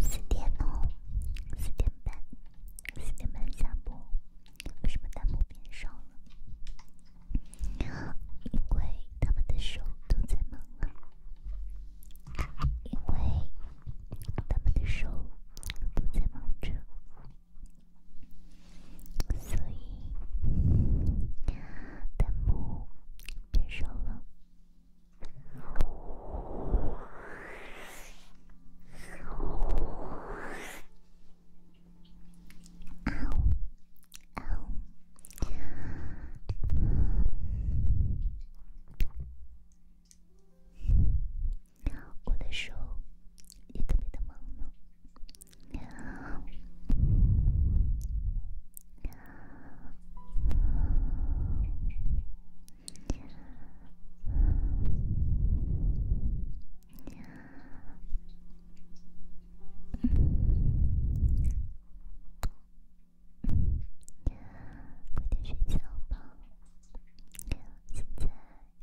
四点哦，四点半，四点半下播。为什么弹幕变少了？因为他们的手都在忙啊。因为他们的手都在忙着。所以，弹幕变少了。我的手也特别的忙呢，嗯，嗯，嗯，嗯，嗯，快点睡觉吧，现在。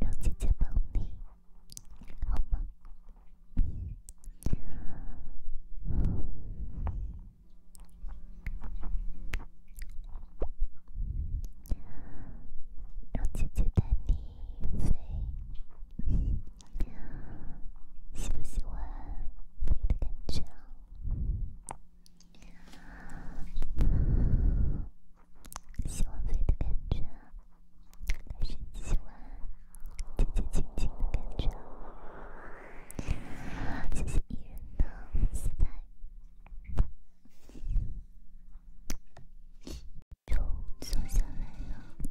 让姐姐抱你好吗？让姐姐带你飞，喜不喜欢飞的感觉喜欢飞的感觉，还是喜欢轻轻轻的感觉？谢谢艺人的期待，就坐下来了。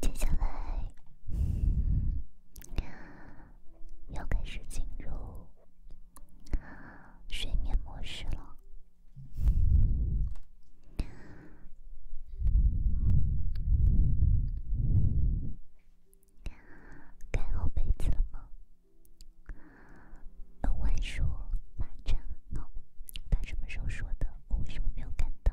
接下来要开始进入睡眠模式了。说房间很冷，他什么时候说的？我为什么没有看到？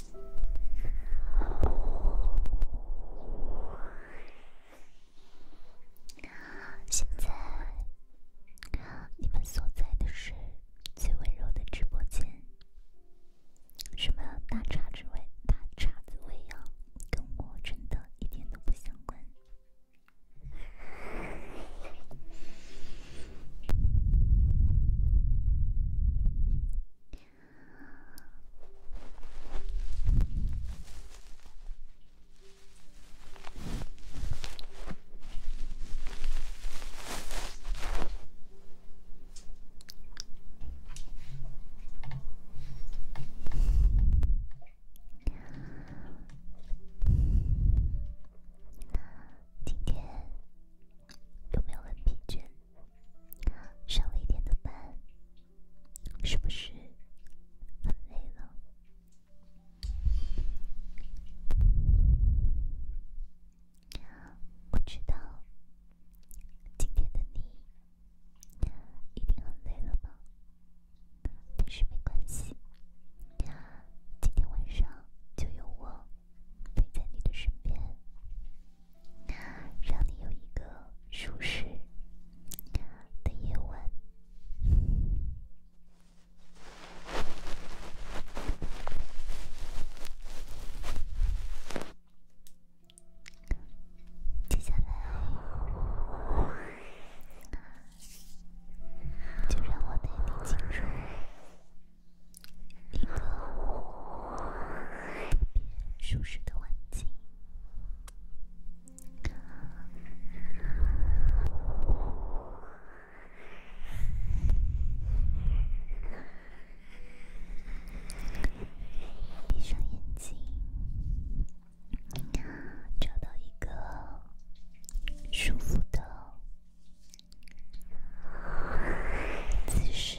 现在你们所在的是最温柔的直播间，什么大叉子味、大叉子味啊，跟我真的一点都不相关。今天有没有很疲倦？上了一天的班，是不是很累了？我知道今天的你一定很累了吧，但是没关系，今天晚上就有我陪在你的身边。让你有一个舒适的夜晚。接下来，就让我给你进入一个舒适的吻。闭上眼睛，找到一个舒服的姿势。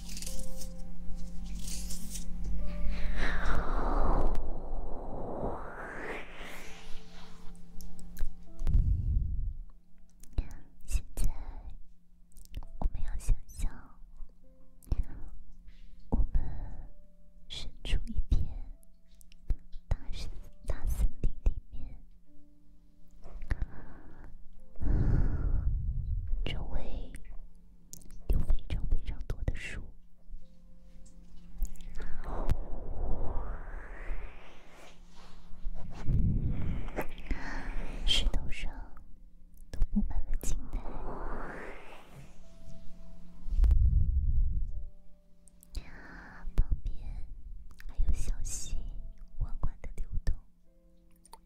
现在，我们要想象，我们身处一片大森大森林里面。周围有非常非常多的树，石头上都布满了青苔，旁边还有小溪缓缓的流动。现在，我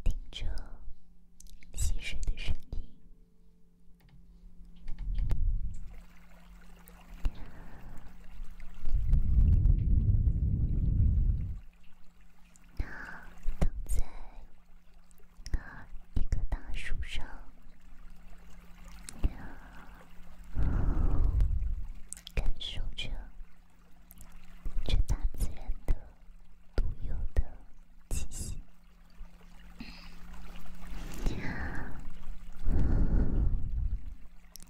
们听着溪水的声音。鸟躺在一棵大树上，鸟感受着这大自然的独有的气息。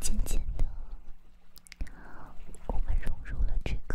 渐渐的，我们融入了这个。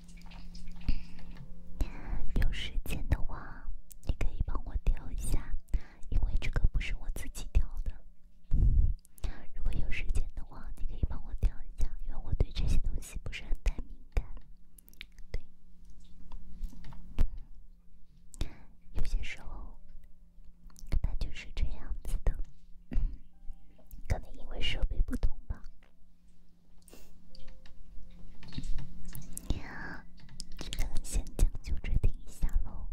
有时间的话，你可以帮我调一下，因为这个不是我自己调的。如果有时间的话，你可以帮我调一下，因为我对这些东西不是很太敏感。对，有些时候它就是这样子的，可能因为设备不同吧。呀，咱们先将就着听一下喽。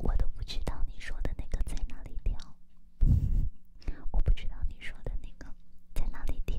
我都不知道你说的那个在哪里调。我不知道你说的那个在哪里听。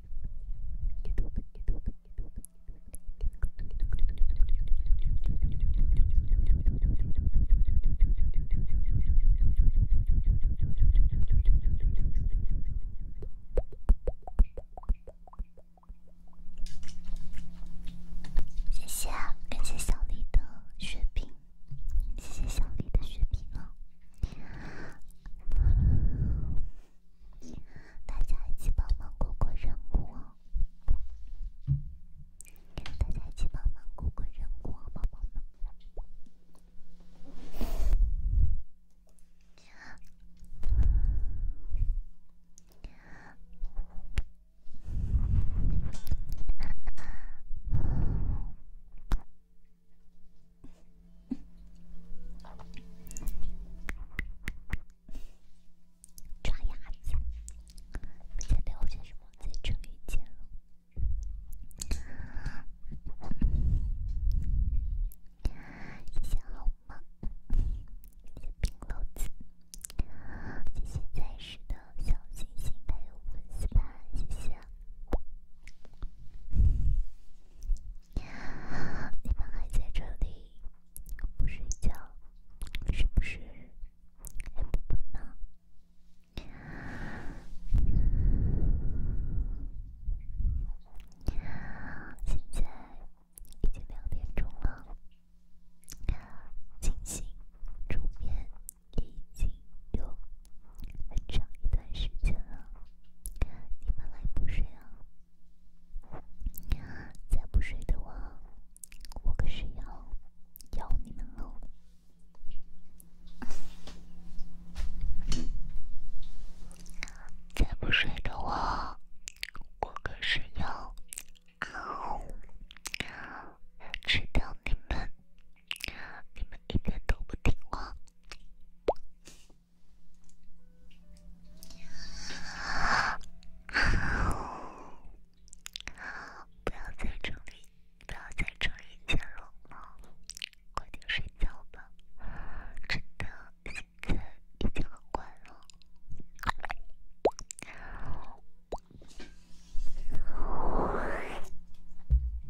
谢谢，感谢小丽的血瓶，谢谢小丽的血瓶啊。大家一起帮忙过过任务哦！大家一起帮忙过过任务哦，宝宝们。抓鸭子，不想聊些什么，在春雨间了。谢谢好吗？谢谢冰篓子，谢谢在世的小星星礼物粉丝吧，谢谢。你们还在这里不睡觉，是不是还不困呢？现在已经两点钟了，清醒煮面已经有很长一段时间了。你们还不睡啊？再不睡的话，我可是要咬你们喽！再不睡的话，我可是要吃掉你们！你们一点都不听话。不要在这里，不要在这里加绒了，快点睡觉吧，真的现在已经很晚了。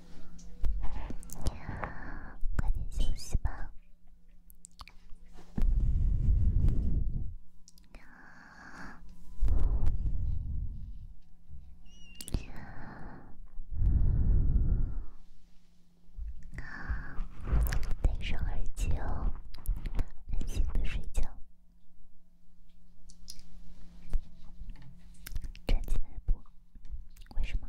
你快点休息吧。好，好，戴上耳机哦，安心的睡觉。站起来不？为什么？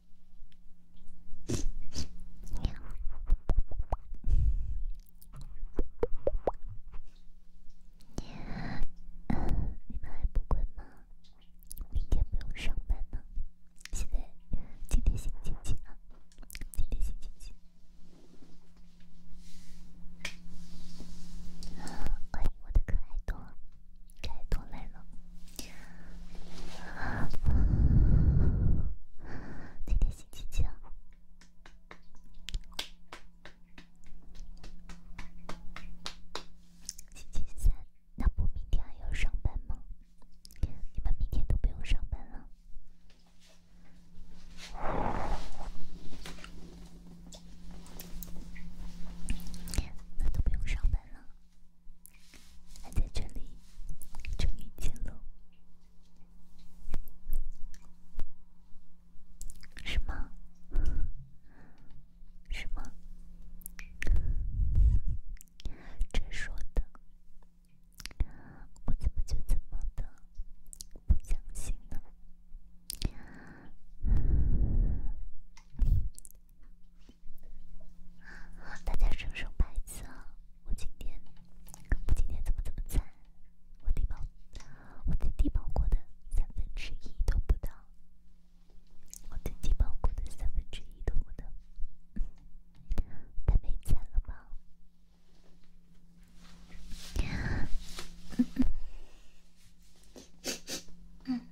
你好，嗯，你们还不滚吗？明天不用上班吗？现在今天星期几啊？今天星期几？欢迎我的可爱多。该多累了！今天星期几啊？星期三，那不明天还要上班吗？你们明天都不用上班了，那都不用上班了。还在这里，重遇前路，是吗？是吗？这说的，我怎么就怎么的不相信呢？大家是什么牌子啊？我今天，今天怎么怎么惨？我低保，我在低保过的三分之一都不到，我在低保过的三分之一都不到，太没钱了吗？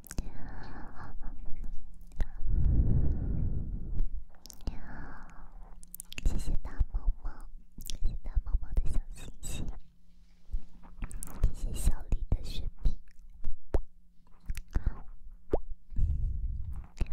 喵，喵，谢谢大猫猫，谢谢大猫猫的小星星，谢谢小李的雪碧。喵，喵，喵。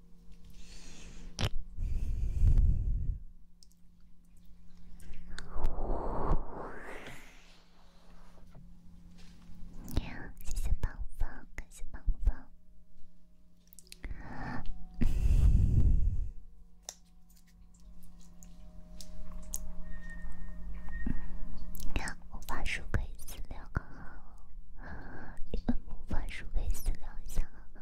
谢谢棒棒，感谢棒棒。你看，魔法书可以私聊个号，一本魔法书可以私聊一下，好吗？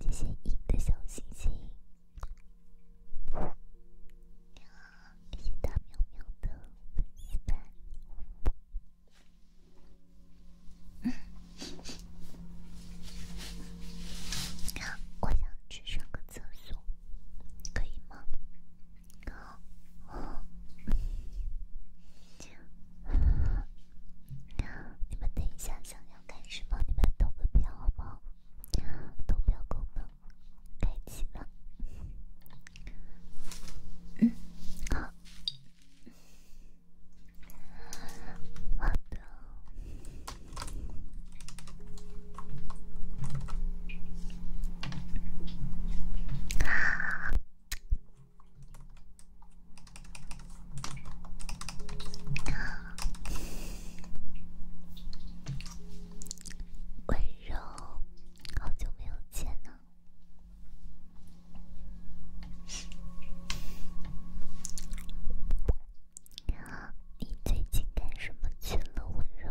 谢谢影的小星星，呀，谢谢大喵喵的陪伴。嗯，呀，我想去上个厕所，可以吗？好，嗯，行。你们等一下，想要干什么？你们投个票好不好？投票功能开启了。嗯，好，好的。温柔，好久没有见了。你最近干什么去了，温柔？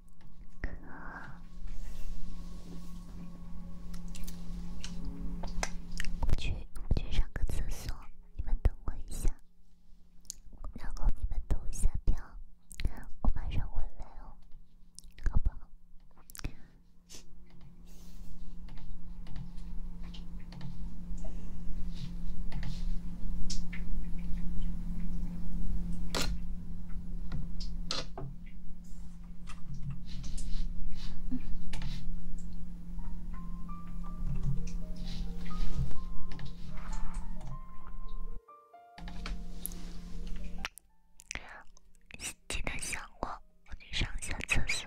哥，我去，我去上个厕所，你们等我一下，然后你们等一下表，我马上回来哦，好不好？记得想我，我得上一下厕所。